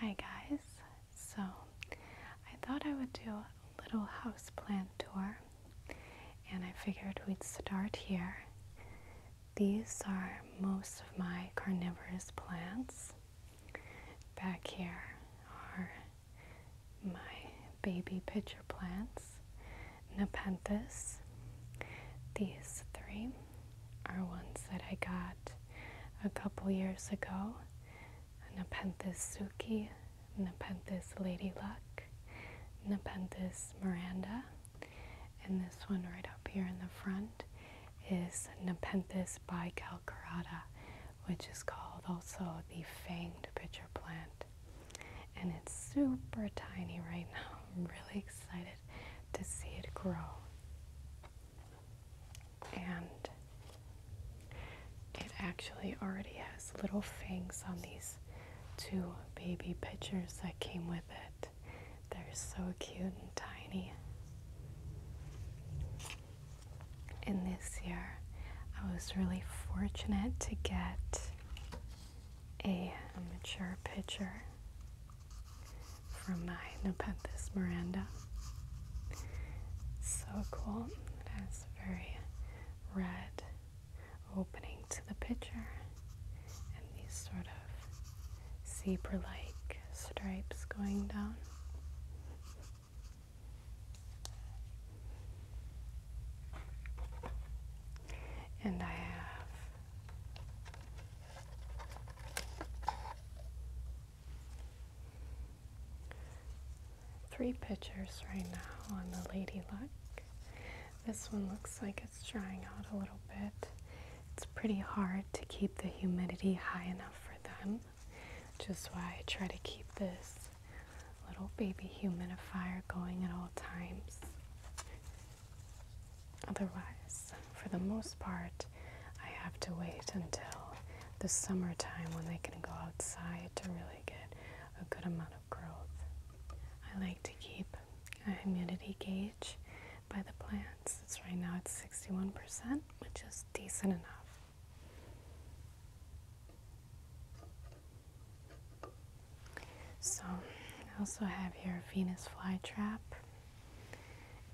Hi guys, so I thought I would do a little house plant tour and I figured we'd start here. These are most of my carnivorous plants. Back here are my baby pitcher plants, Nepenthes, these three are ones that I got a couple years ago. Nepenthes Suki, Nepenthes Lady Luck, Nepenthes Miranda, and this one right up here in the front is Nepenthes by Calcarata, which is called also the fanged pitcher plant. And it's super tiny right now. I'm really excited to see it grow and it actually already has little fangs on these two baby pictures that came with it. They're so cute and tiny. In this year, I was really fortunate to get a mature pitcher from my Nepenthes Miranda. So cool. It has very red opening to the picture and these sort of zebra like stripes going down. And I have Three pictures right now on the lady luck. This one looks like it's drying out a little bit. It's pretty hard to keep the humidity high enough for them, Just why I try to keep this little baby humidifier going at all times. Otherwise, for the most part, I have to wait until the summertime when they can go outside to really get a good amount of growth. I like to keep a humidity gauge by the plants. It's right now it's 61%, which is decent enough. So I also have here Venus flytrap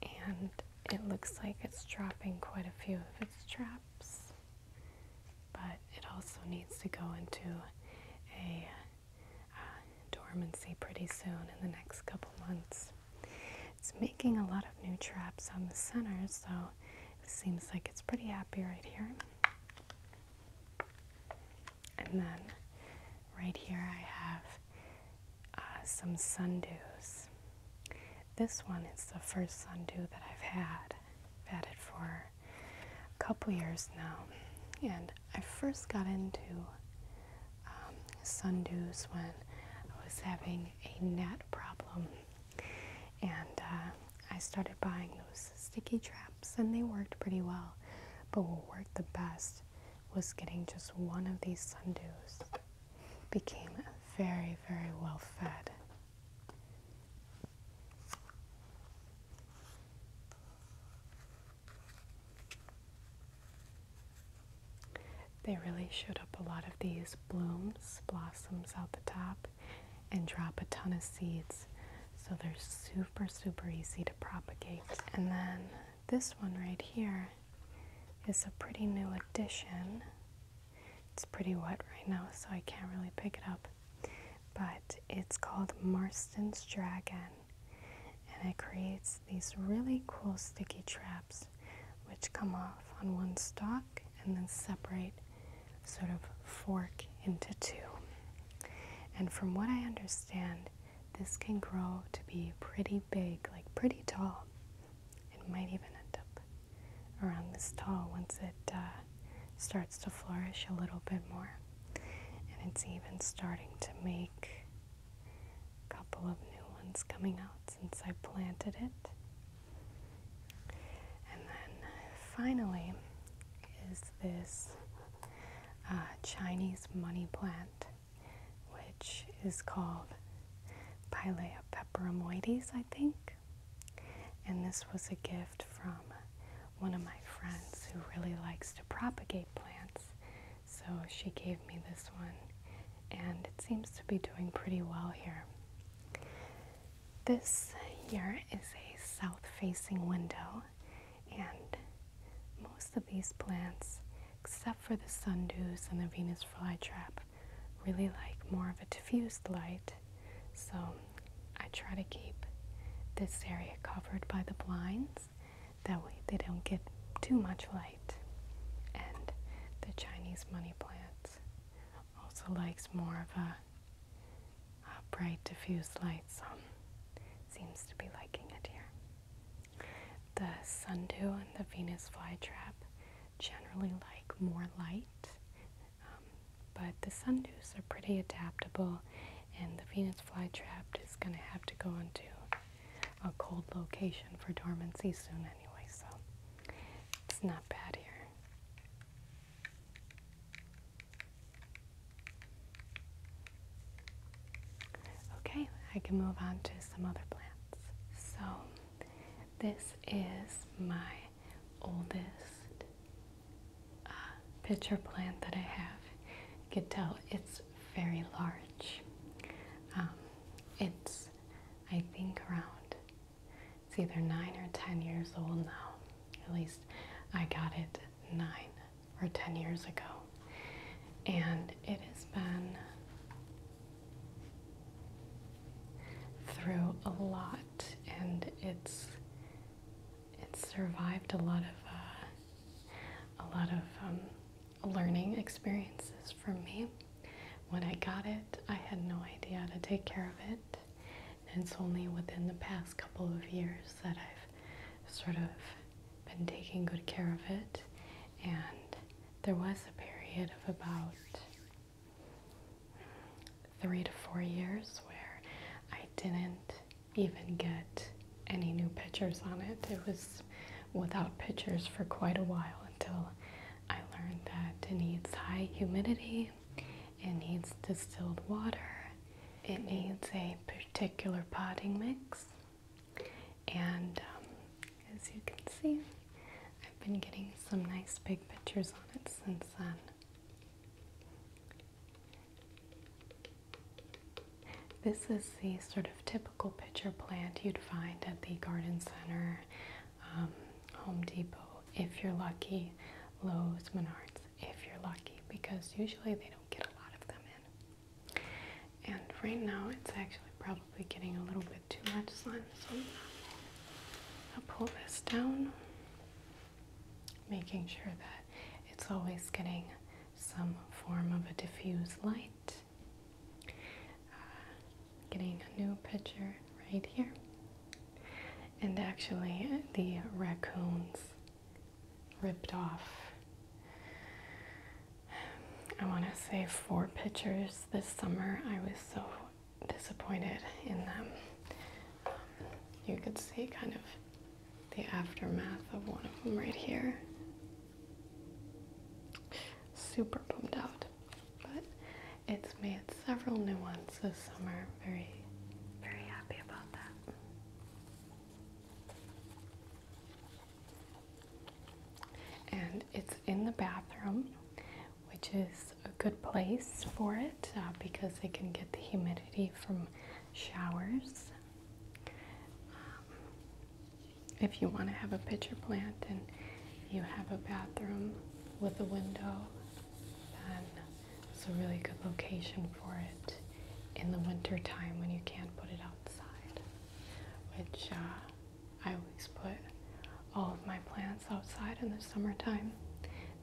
and it looks like it's dropping quite a few of its traps, but it also needs to go into a uh, dormancy pretty soon in the next couple months. It's making a lot of new traps on the center, so it seems like it's pretty happy right here. And then right here I have uh, some sundews. This one is the first sundew that I've had. vetted for a couple years now. And I first got into um, sundews when I was having a net problem. And uh, I started buying those sticky traps and they worked pretty well. But what worked the best was getting just one of these sundews became very, very well fed. They really shoot up a lot of these blooms, blossoms out the top, and drop a ton of seeds. So they're super, super easy to propagate. And then this one right here is a pretty new addition. It's pretty wet right now, so I can't really pick it up. But it's called Marston's Dragon, and it creates these really cool sticky traps which come off on one stalk and then separate, sort of fork into two. And from what I understand, this can grow to be pretty big, like pretty tall. It might even end up around this tall once it uh, starts to flourish a little bit more. And it's even starting to make a couple of new ones coming out since I planted it. And then uh, finally is this uh, Chinese money plant which is called Pilea peperomoides, I think. And this was a gift from one of my friends who really likes to propagate plants. So she gave me this one, and it seems to be doing pretty well here. This here is a south facing window, and most of these plants, except for the sundews and the Venus flytrap, really like more of a diffused light. So I try to keep this area covered by the blinds. That way they don't get too much light. And the Chinese money plant also likes more of a, bright diffused light, so seems to be liking it here. The sundew and the Venus flytrap generally like more light, um, but the sundews are pretty adaptable, and the Venus flytrap is going to have to go into a cold location for dormancy soon anyway, so it's not bad here. Okay, I can move on to some other plants. So, this is my oldest uh, pitcher plant that I have. You could tell it's very large. Um, it's, I think, around it's either nine or ten years old now. At least I got it nine or 10 years ago. And it has been through a lot and it's it's survived a lot of uh, a lot of um, learning experiences for me. When I got it, I had no idea how to take care of it. And it's only within the past couple of years that I've sort of been taking good care of it, and there was a period of about three to four years where I didn't even get any new pictures on it. It was without pictures for quite a while until I learned that it needs high humidity, it needs distilled water, it needs a particular potting mix, and um, as you can see, I've been getting some nice big pictures on it since then. This is the sort of typical pitcher plant you'd find at the garden center, um, Home Depot, if you're lucky, Lowe's, Menards, if you're lucky, because usually they don't get a lot of them in. And right now it's actually probably getting a little bit too much sun, so I'm gonna pull this down, making sure that it's always getting some form of a diffuse light. Uh, getting a new picture right here. And actually, the raccoons ripped off. I want to say four pictures this summer. I was so disappointed in them. you could see kind of the aftermath of one of them right here. Super bummed out, but it's made several new ones this summer. Very, very happy about that. And it's in the bathroom, which is a good place for it uh, because they can get the humidity from showers. Um, if you want to have a pitcher plant and you have a bathroom with a window, then it's a really good location for it in the winter time when you can't put it outside, which uh, I always put all of my plants outside in the summertime.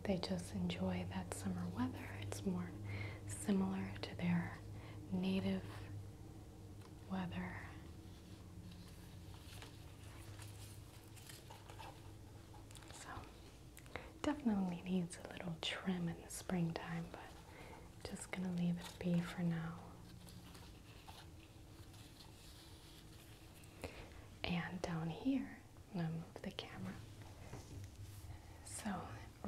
They just enjoy that summer weather. It's more similar to their native weather. So Definitely needs a little trim in the springtime, but just gonna leave it be for now. And down here, I'm gonna move the camera. So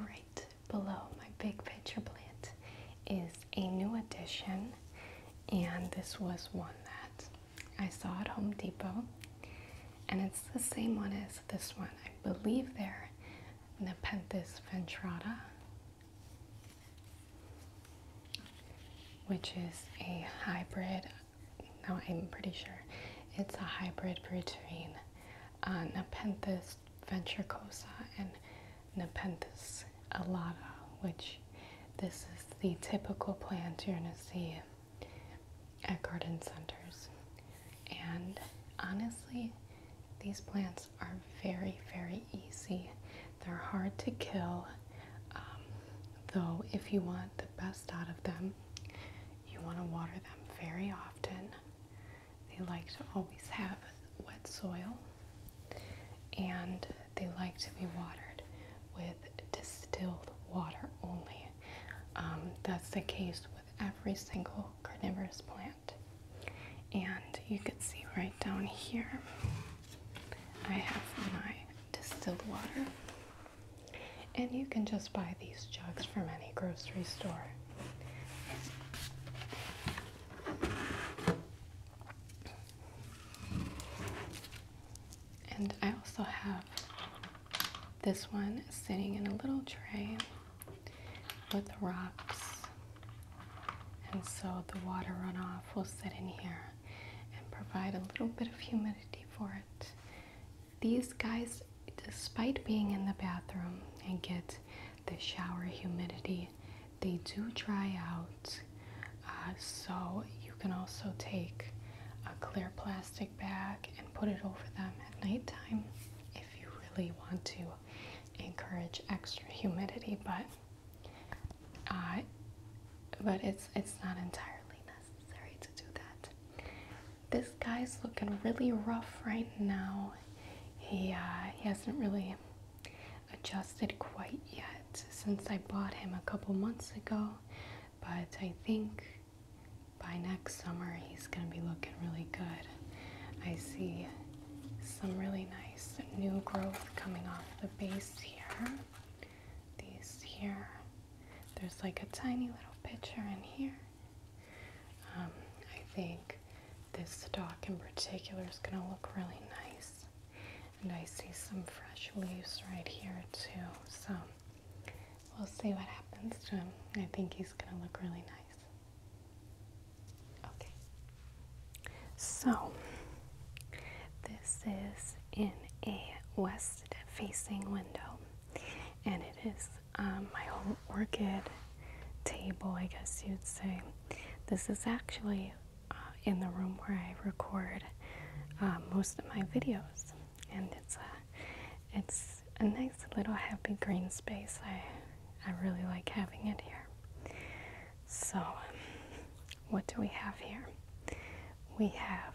right below my big picture plant is a new addition, and this was one that I saw at Home Depot and it's the same one as this one. I believe There, Nepenthes ventrata, which is a hybrid. No, I'm pretty sure it's a hybrid between uh, Nepenthes ventricosa and Nepenthes alata, which this is the typical plant you're going to see at garden centers. And honestly, these plants are very, very easy. They're hard to kill, um, though, if you want the best out of them, you want to water them very often. They like to always have wet soil, and they like to be watered with distilled water only. Um, that's the case with every single carnivorous plant. And you can see right down here, I have my distilled water. And you can just buy these jugs from any grocery store. And I also have this one is sitting in a little tray with rocks, and so the water runoff will sit in here and provide a little bit of humidity for it. These guys, despite being in the bathroom and get the shower humidity, they do dry out. Uh, so you can also take a clear plastic plastic bag and put it over them at nighttime if you really want to encourage extra humidity, but uh, but it's it's not entirely necessary to do that. This guy's looking really rough right now. He uh, he hasn't really adjusted quite yet since I bought him a couple months ago, but I think by next summer, he's going to be looking really good. I see some really nice new growth coming off the base here. These here. There's like a tiny little pitcher in here. Um, I think this stock in particular is going to look really nice. And I see some fresh leaves right here too. So We'll see what happens to him. I think he's going to look really nice. Okay. So, this is in a west facing window, and it is um, my whole orchid table, I guess you'd say. This is actually uh, in the room where I record uh, most of my videos and it's a it's a nice little happy green space. I I really like having it here. So, um, what do we have here? We have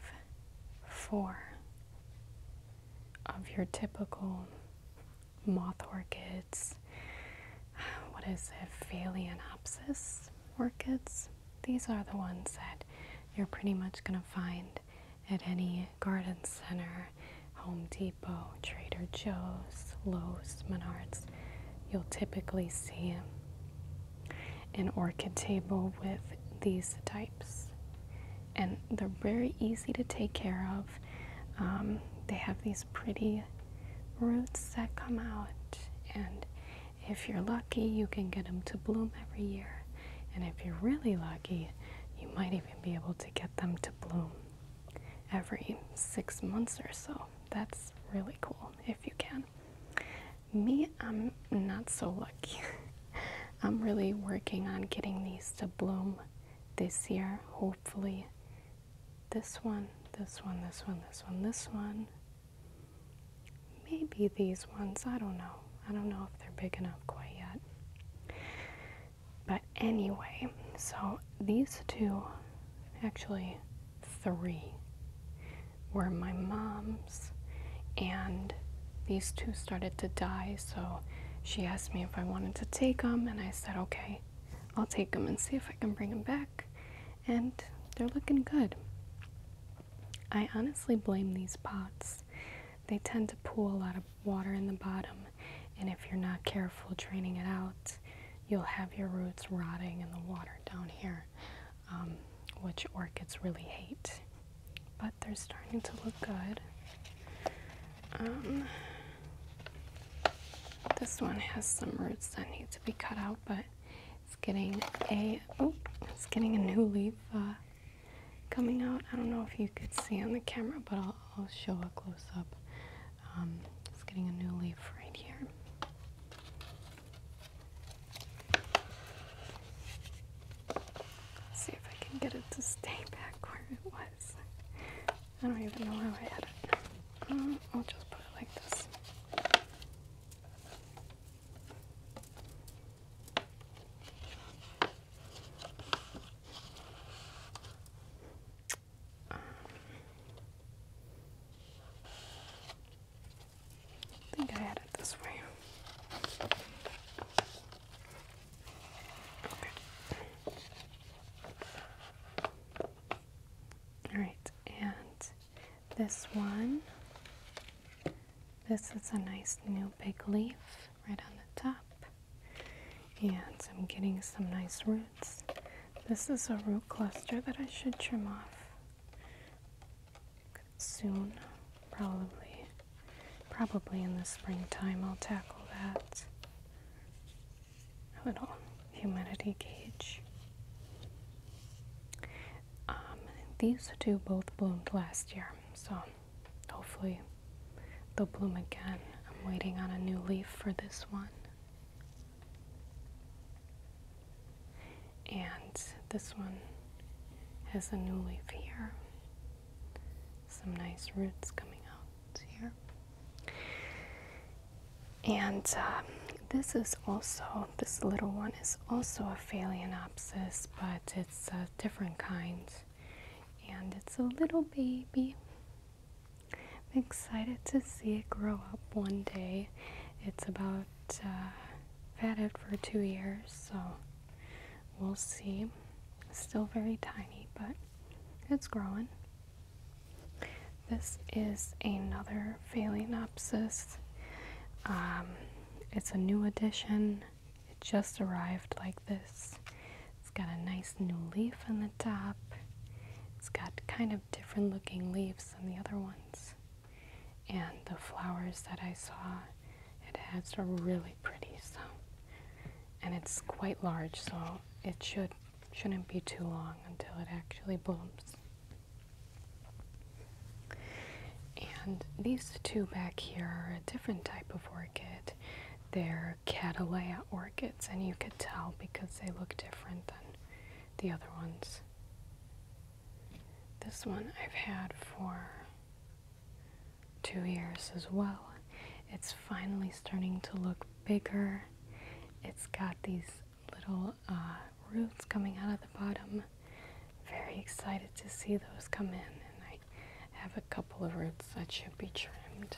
four of your typical moth orchids. What is it? Phalaenopsis orchids. These are the ones that you're pretty much going to find at any garden center, Home Depot, Trader Joe's, Lowe's, Menards. You'll typically see an orchid table with these types. And they're very easy to take care of. Um, they have these pretty roots that come out, and if you're lucky, you can get them to bloom every year and if you're really lucky, you might even be able to get them to bloom every six months or so. That's really cool if you can. Me, I'm not so lucky. I'm really working on getting these to bloom this year, hopefully. This one, this one, this one, this one, this one, Maybe these ones, I don't know. I don't know if they're big enough quite yet. But anyway, so these two, actually three, were my mom's, and these two started to die, so she asked me if I wanted to take them, and I said, okay, I'll take them and see if I can bring them back. And they're looking good. I honestly blame these pots. They tend to pool a lot of water in the bottom, and if you're not careful draining it out, you'll have your roots rotting in the water down here, um, which orchids really hate. But they're starting to look good. Um, this one has some roots that need to be cut out, but it's getting a oh, it's getting a new leaf uh, coming out. I don't know if you could see on the camera, but I'll, show a close up. Um, it's getting a new leaf right here. see if I can get it to stay back where it was. I don't even know how I had it. Uh, I'll just put it like this. I think I had this way. All right, and this one. This is a nice new big leaf right on the top. And I'm getting some nice roots. This is a root cluster that I should trim off soon, probably. Probably in the springtime I'll tackle that. little humidity gauge. Um, these two both bloomed last year, so hopefully they'll bloom again. I'm waiting on a new leaf for this one. And this one has a new leaf here. Some nice roots coming out here. And um, this is also, this little one is also a phalaenopsis, but it's a different kind. And it's a little baby. I'm excited to see it grow up one day. It's about uh, fatted for two years, so we'll see. still very tiny, but it's growing. This is another Phalaenopsis. Um, it's a new edition. It just arrived like this. It's got a nice new leaf on the top. It's got kind of different looking leaves than the other ones. And the flowers that I saw it has are really pretty, so and it's quite large, so it should shouldn't be too long until it actually blooms. And these two back here are a different type of orchid. They're Cattleya orchids, and you could tell because they look different than the other ones. This one I've had for two years as well. It's finally starting to look bigger. It's got these little uh, roots coming out of the bottom. Very excited to see those come in, and I have a couple of roots that should be trimmed.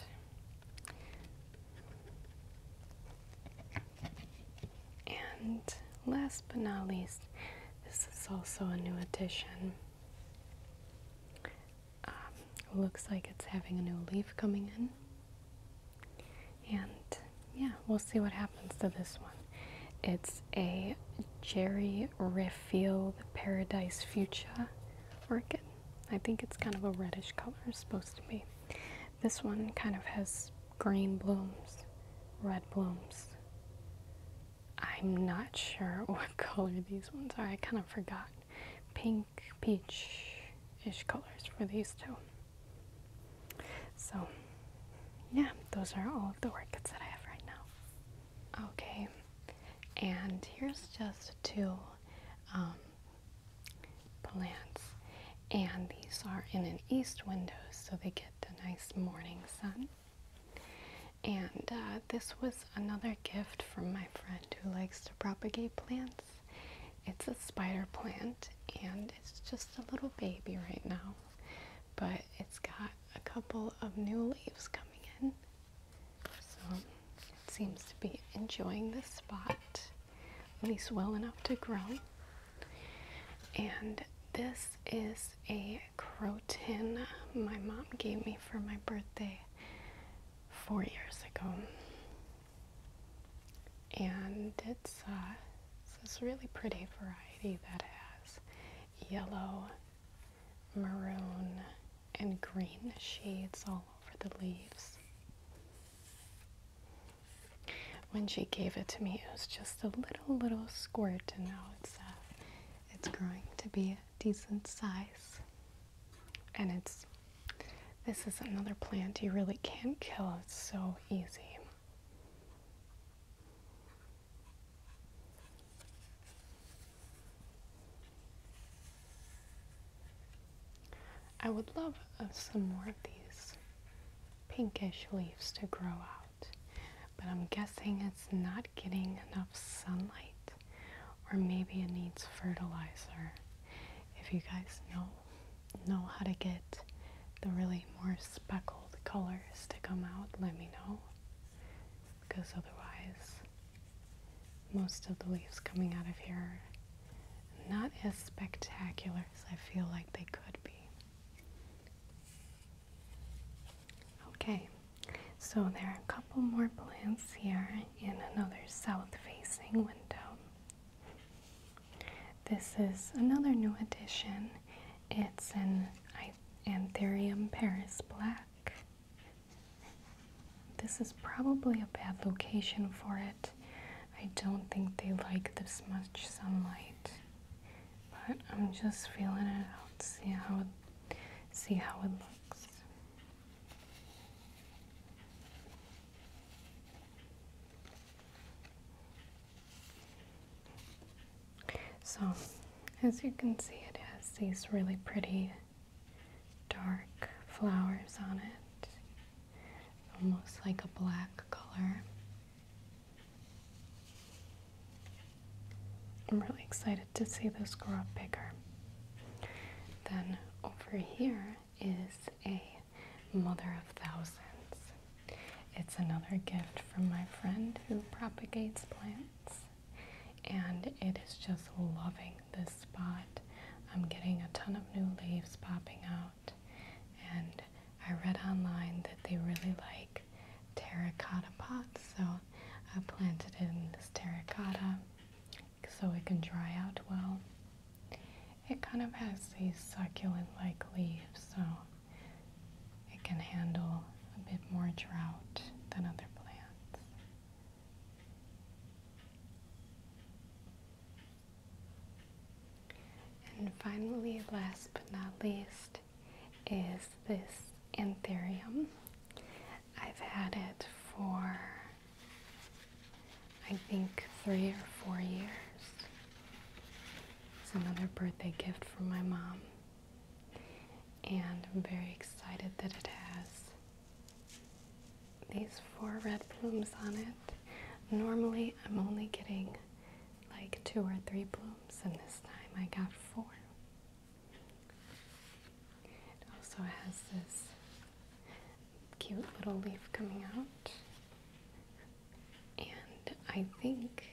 And last but not least, this is also a new addition. Um, looks like it's having a new leaf coming in. And yeah, we'll see what happens to this one. It's a Jerry Refield Paradise Future orchid. I think it's kind of a reddish color, it's supposed to be. This one kind of has green blooms, red blooms. I'm not sure what color these ones are. I kind of forgot. Pink, peach-ish colors for these two. So, yeah, those are all of the orchids that I have right now. Okay, and here's just two um, plants, and these are in an east window so they get the nice morning sun. And uh, this was another gift from my friend who likes to propagate plants. It's a spider plant and it's just a little baby right now but it's got a couple of new leaves coming in. So it seems to be enjoying the spot, at least well enough to grow. And this is a croton my mom gave me for my birthday four years ago and it's, uh, it's this really pretty variety that has yellow, maroon, and green shades all over the leaves. When she gave it to me, it was just a little, little squirt, and now it's, uh, it's growing to be a decent size. And it's, this is another plant you really can't kill, it's so easy. I would love uh, some more of these pinkish leaves to grow out, but I'm guessing it's not getting enough sunlight, or maybe it needs fertilizer. If you guys know, know how to get the really more speckled colors to come out, let me know. Because otherwise, most of the leaves coming out of here are not as spectacular as I feel like they could be. Okay, so there are a couple more plants here in another south facing window. This is another new addition. It's an Anthurium Paris Black. This is probably a bad location for it. I don't think they like this much sunlight. But I'm just feeling it out, see how see how it looks. So, as you can see, it has these really pretty dark flowers on it, almost like a black color. I'm really excited to see this grow up bigger. Then over here, is a Mother of Thousands. It's another gift from my friend who propagates plants, and it is just loving this spot. I'm getting a ton of new leaves popping out, and I read online that they really like terracotta pots, so I planted it in this terracotta so it can dry out well it kind of has these succulent like leaves, so it can handle a bit more drought than other plants. And finally, last but not least, is this anthurium. I've had it for I think three or four years. It's another birthday gift from my mom. And I'm very excited that it has these four red plumes on it. Normally I'm only getting like two or three blooms and this time I got four. It also has this cute little leaf coming out. And I think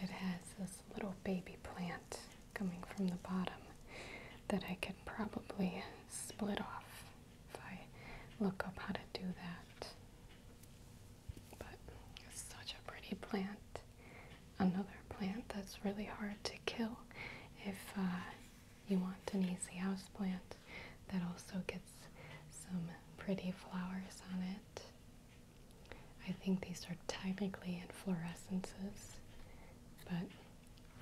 it has this little baby plant coming from the bottom that I could probably split off if I look up how to do that. But such a pretty plant. Another plant that's really hard to kill if uh, you want an easy house plant that also gets some pretty flowers on it. I think these are technically inflorescences, but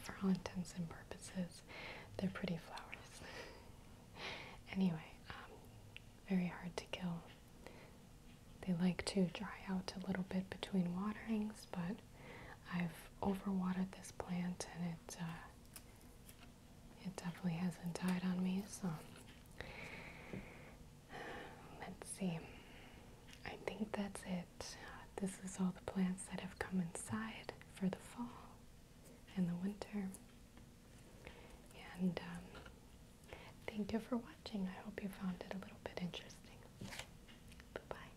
for all intents and purposes, they're pretty flowers. anyway, um, very hard to kill. They like to dry out a little bit between waterings, but I've overwatered this plant and it uh, it definitely hasn't died on me, so let's see. I think that's it. This is all the plants that have come inside for the fall and the winter. And um, thank you for watching. I hope you found it a little bit interesting. Bye bye.